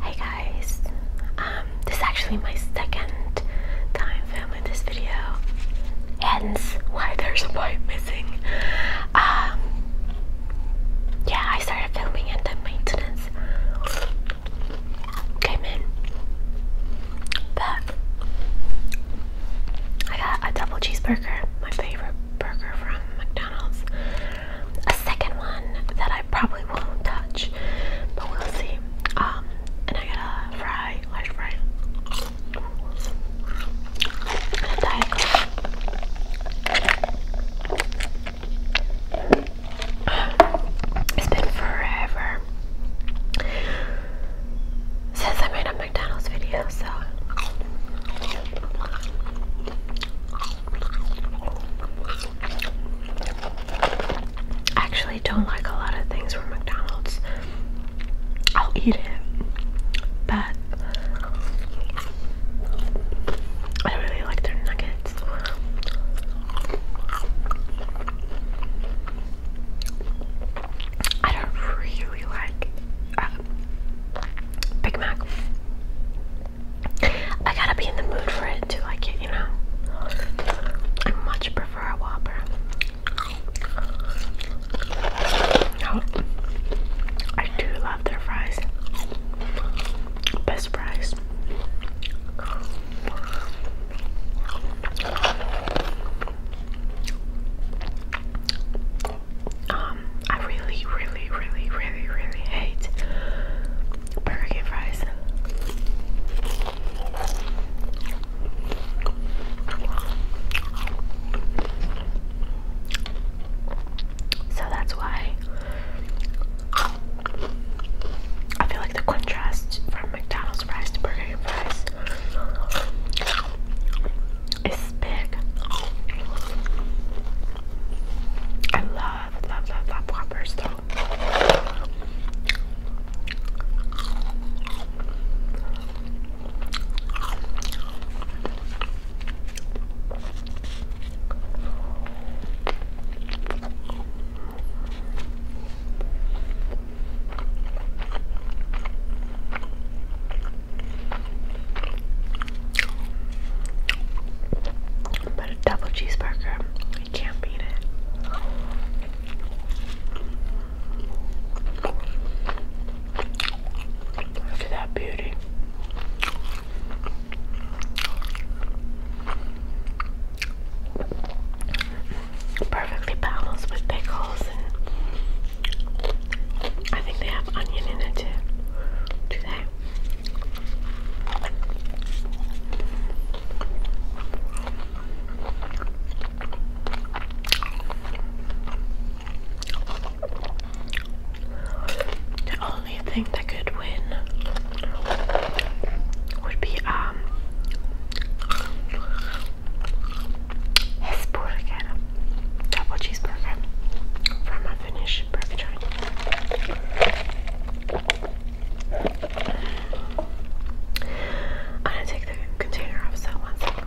Hey guys, um, this is actually my second time filming this video, hence why there's a point missing. Um, yeah, I started filming and then maintenance came in that I got a double cheeseburger, my favorite burger from McDonald's. A second one that I probably won't touch, but we'll see. Um, and I got a fry, large fry, it's been forever since I made a McDonald's video, so actually don't like a lot of things from McDonald's. I'll eat it, but I really like their nuggets. I don't really like um, Big Mac. I gotta be in the mood for it to like it, you know. I much prefer a Whopper. Oh, I do love their fries. Best fries. Um, I really, really, really, really, really hate burger and fries. So that's why I feel like the contrast from McDonald's fries to Burger King fries is big. I love, love, love, love Whoppers though. But a double cheeseburger, you can't beat it. Look at that beauty perfectly balanced with pickles I think they have onion in it too. Do they? The only thing that could would be um Hesburger double cheeseburger from a burger I'm gonna take the container off so one second.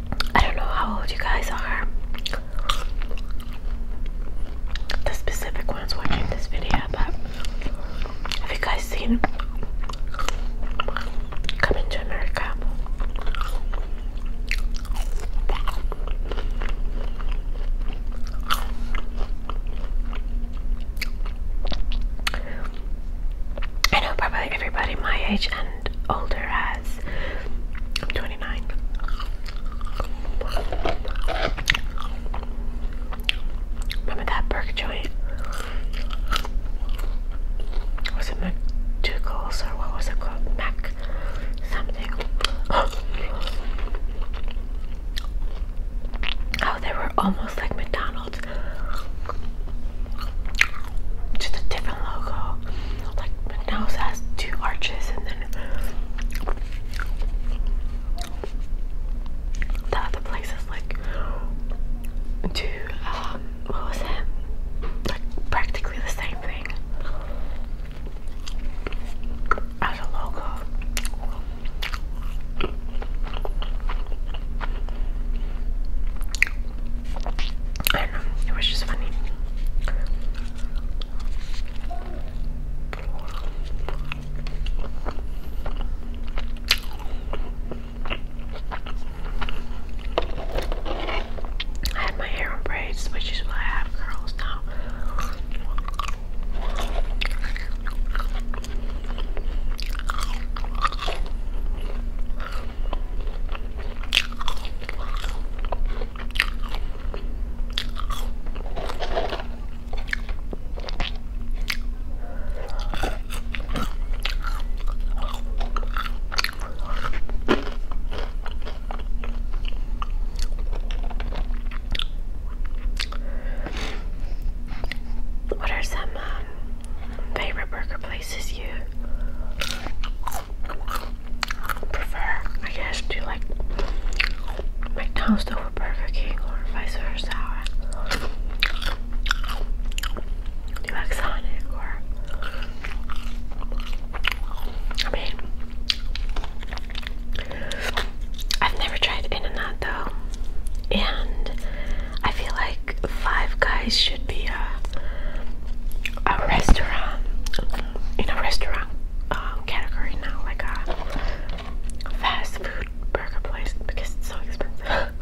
I don't know how old you guys are. The specific ones watching this video, but have you guys seen Coming to America? I know probably everybody my age and older has. I'm 29. Remember that burger joint? Was it McDougal's or what was it called? Mac something. Oh, they were almost like McDonald's. McDonald's. Just a different logo. Like McDonald's has two arches and then the other place is like two um, what was it? Like practically the same thing as a logo. I know, it was just funny. I had my hair braids, which is why I have curls now. What are some um, favorite burger places you prefer. I guess do you like McDonald's over Burger King or vice versa? Do you like Sonic I mean I've never tried In-N-Out though and I feel like Five Guys should be a, a restaurant in a restaurant um, category now, like a fast food burger place because it's so expensive.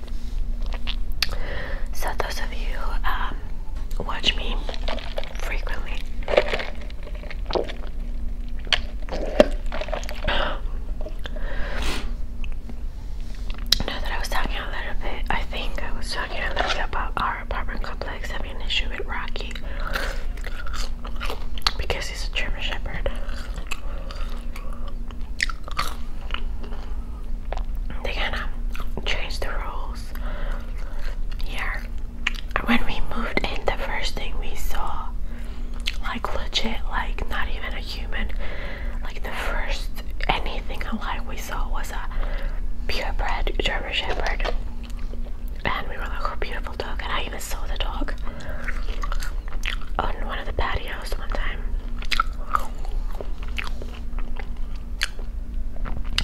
So those of you who um, watch me frequently, know that I was talking a little bit. I think I was talking a little bit about our apartment complex having an issue with Rocky because he's a German Shepherd they're gonna change the rules here. When we moved in, the first thing we saw, like legit, like not even a human, like the first anything alive we saw was a purebred German Shepherd. And we were like, oh, beautiful dog. And I even saw the dog on one of the patios one time.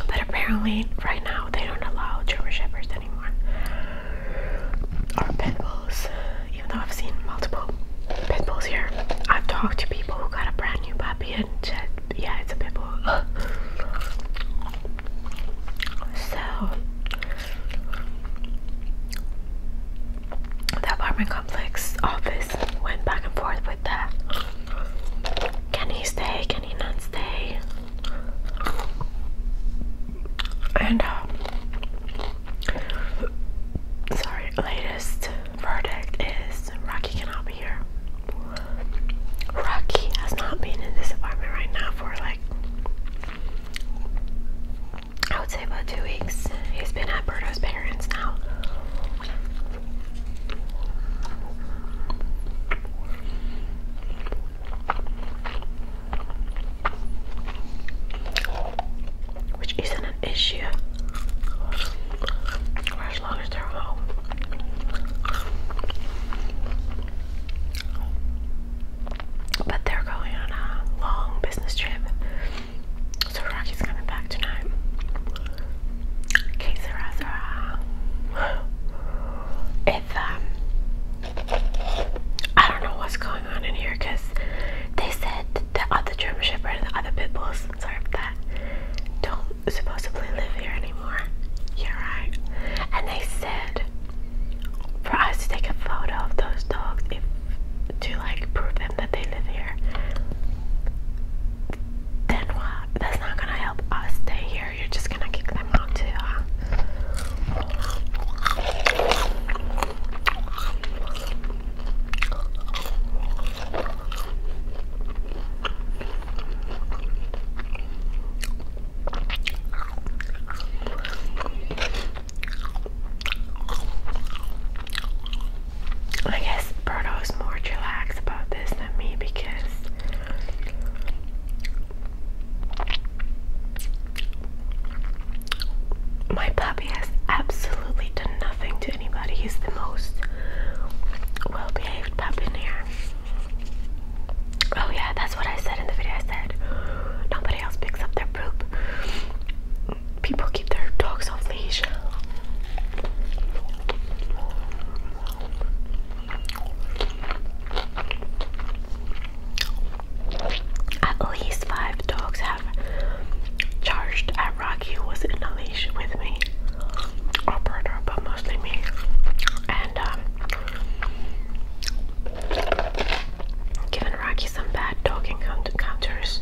But apparently, right now, they don't allow German Shepherds anymore. Or Pit Even though I've seen multiple Pit here, I've talked to people who got a brand new puppy and said, yeah, it's a Pit so, the apartment complex office went back and forth with that. Can he stay? Can he not stay? And uh, sorry, latest verdict is Rocky cannot be here. Rocky has not been in this apartment right now for like I would say about two weeks. He's been at Berto's parents now. Which isn't an issue. As long as they're home. But they're going on a long business trip so Rocky's coming back tonight. It's um, I don't know what's going on in here they said the other German Shepherd and the other pit bulls, sorry for that, don't supposedly live here anymore. you right. And they said for us to take a photo of those dogs if to like prove them that they live here, then what? That's not gonna help us stay here. You're just gonna kick them out too, huh? I guess Berto is more relaxed about this than me because my puppy has absolutely done nothing to anybody. He's the most well behaved puppy in here. Oh, yeah, that's what I said in the video. I said nobody else picks up their poop people keep their dogs off leash. At least five dogs have charged at Rocky who was in a leash with me. Or but mostly me. And um, given Rocky some bad talking encounters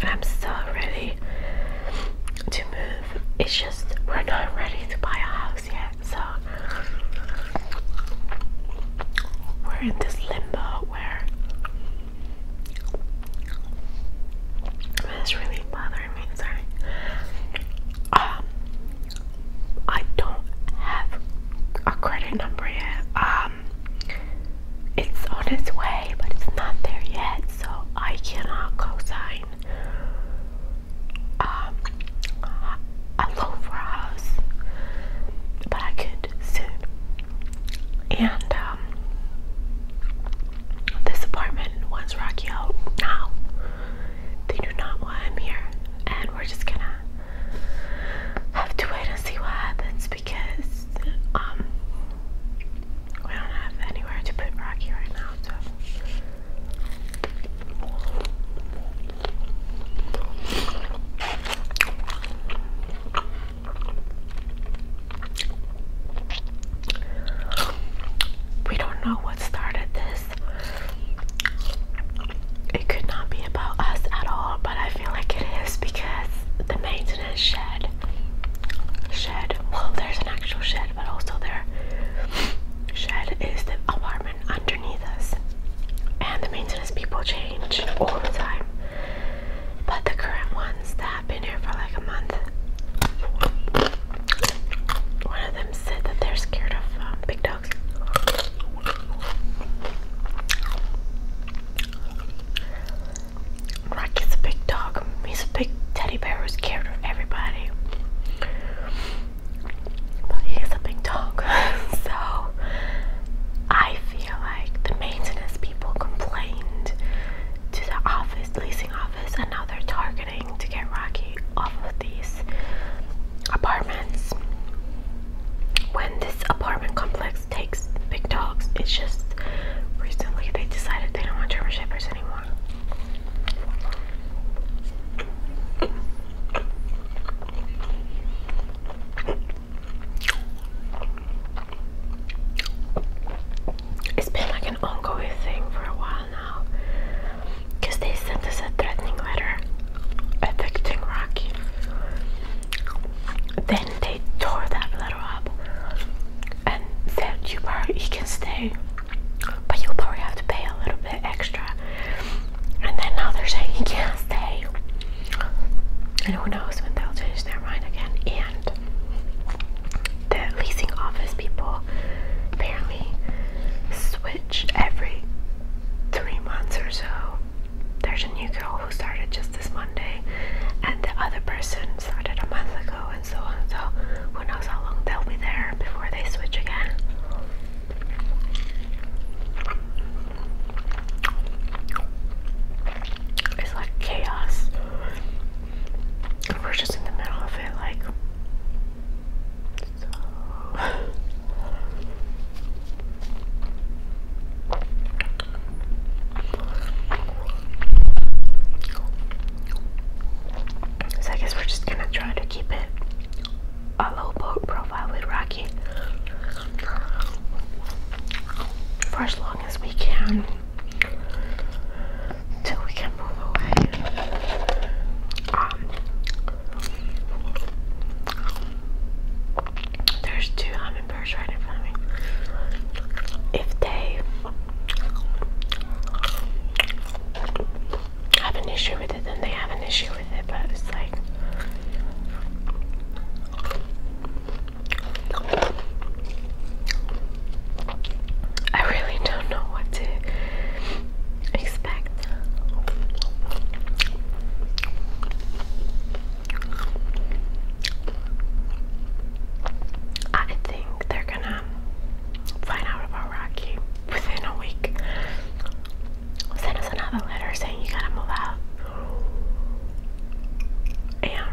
I'm so ready to move. It's just we're not ready to buy a house yet, so we're in this limbo it's really bothering me. Sorry. Um, I don't have a credit number yet. Um, it's on its way, but it's not there yet, so I cannot co-sign um, a But I could soon. And um, this apartment wants Rocky out now. They do not want him here. And we're just gonna have to wait and see what happens because um, we don't have anywhere to put Rocky right now. So. We don't know what started this. It could not be about us at all, but I feel like it is because the maintenance shed, shed, well, there's an actual shed, but also their shed is the apartment underneath us and the maintenance people change all the time. But the current ones that have been here for like a month, one of them said that they're scared of um, big dogs. Rock is a big dog. He's a big teddy bear who's scared of everybody. But he a big dog. so I like the maintenance people complained to the office, leasing office, and now they're targeting to get Rocky off of these apartments. When this apartment complex takes big dogs, it's just recently they decided they don't want German Shepherds anymore. It's been like an ongoing thing for a while now because they sent us a threatening letter evicting Rocky. Then they tore that letter up and said you are, you can stay, but you'll probably have to pay a little bit extra and then now they're saying he can't stay. And who knows when they'll change their mind again. And the leasing office people apparently switch every three months or so. There's a new girl who started just this Monday, and the other person started a month ago, and so on. So, who knows how long they'll be there before they switch again. It's like chaos. We're just in the middle of it, like. so I guess we're just gonna try to keep it a low profile with Rocky for as long as we can till we can move away. Um, there's two hummingbirds right in front of me. If they have an issue with it, then they have an issue. I really don't know what to expect. I think they're gonna find out about Rocky within a week. Send us another letter saying you gotta move out. And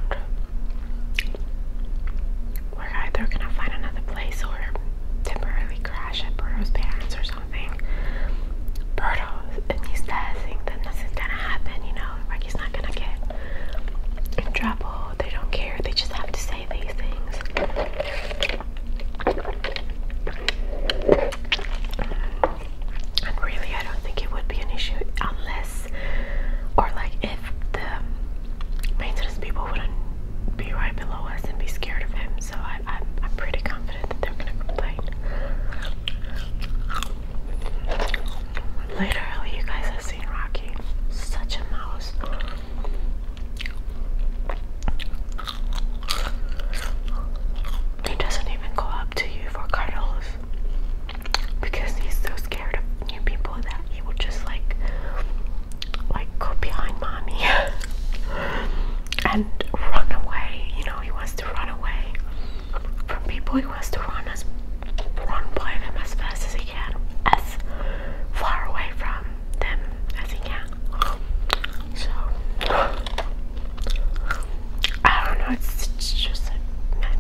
we're either gonna find another place or temporarily crash at Berto's parents or something. Berto, and he's dancing, then nothing's gonna happen, you know, like not gonna get in trouble. They don't care, they just have to say these things really, I don't think it would be an issue unless, or like if the maintenance people wouldn't be right below us and be scared of him. So I, am I'm pretty confident that they're gonna complain. Literally, you guys have seen Rocky, such a mouse. He doesn't even go up to you for cuddles because he's so scared of new people that he would just like like go behind mommy and run away. You know, he wants to run away from people. He wants to run as run by them as fast as he can, as far away from them as he can. So I don't know, it's, just a mess.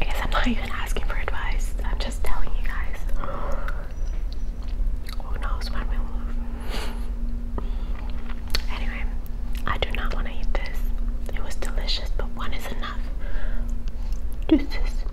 I guess I'm not even asking for advice. I'm just telling you guys. Who knows when we'll move. Anyway, I do not want to eat this. It was delicious, but one is enough. Deuces.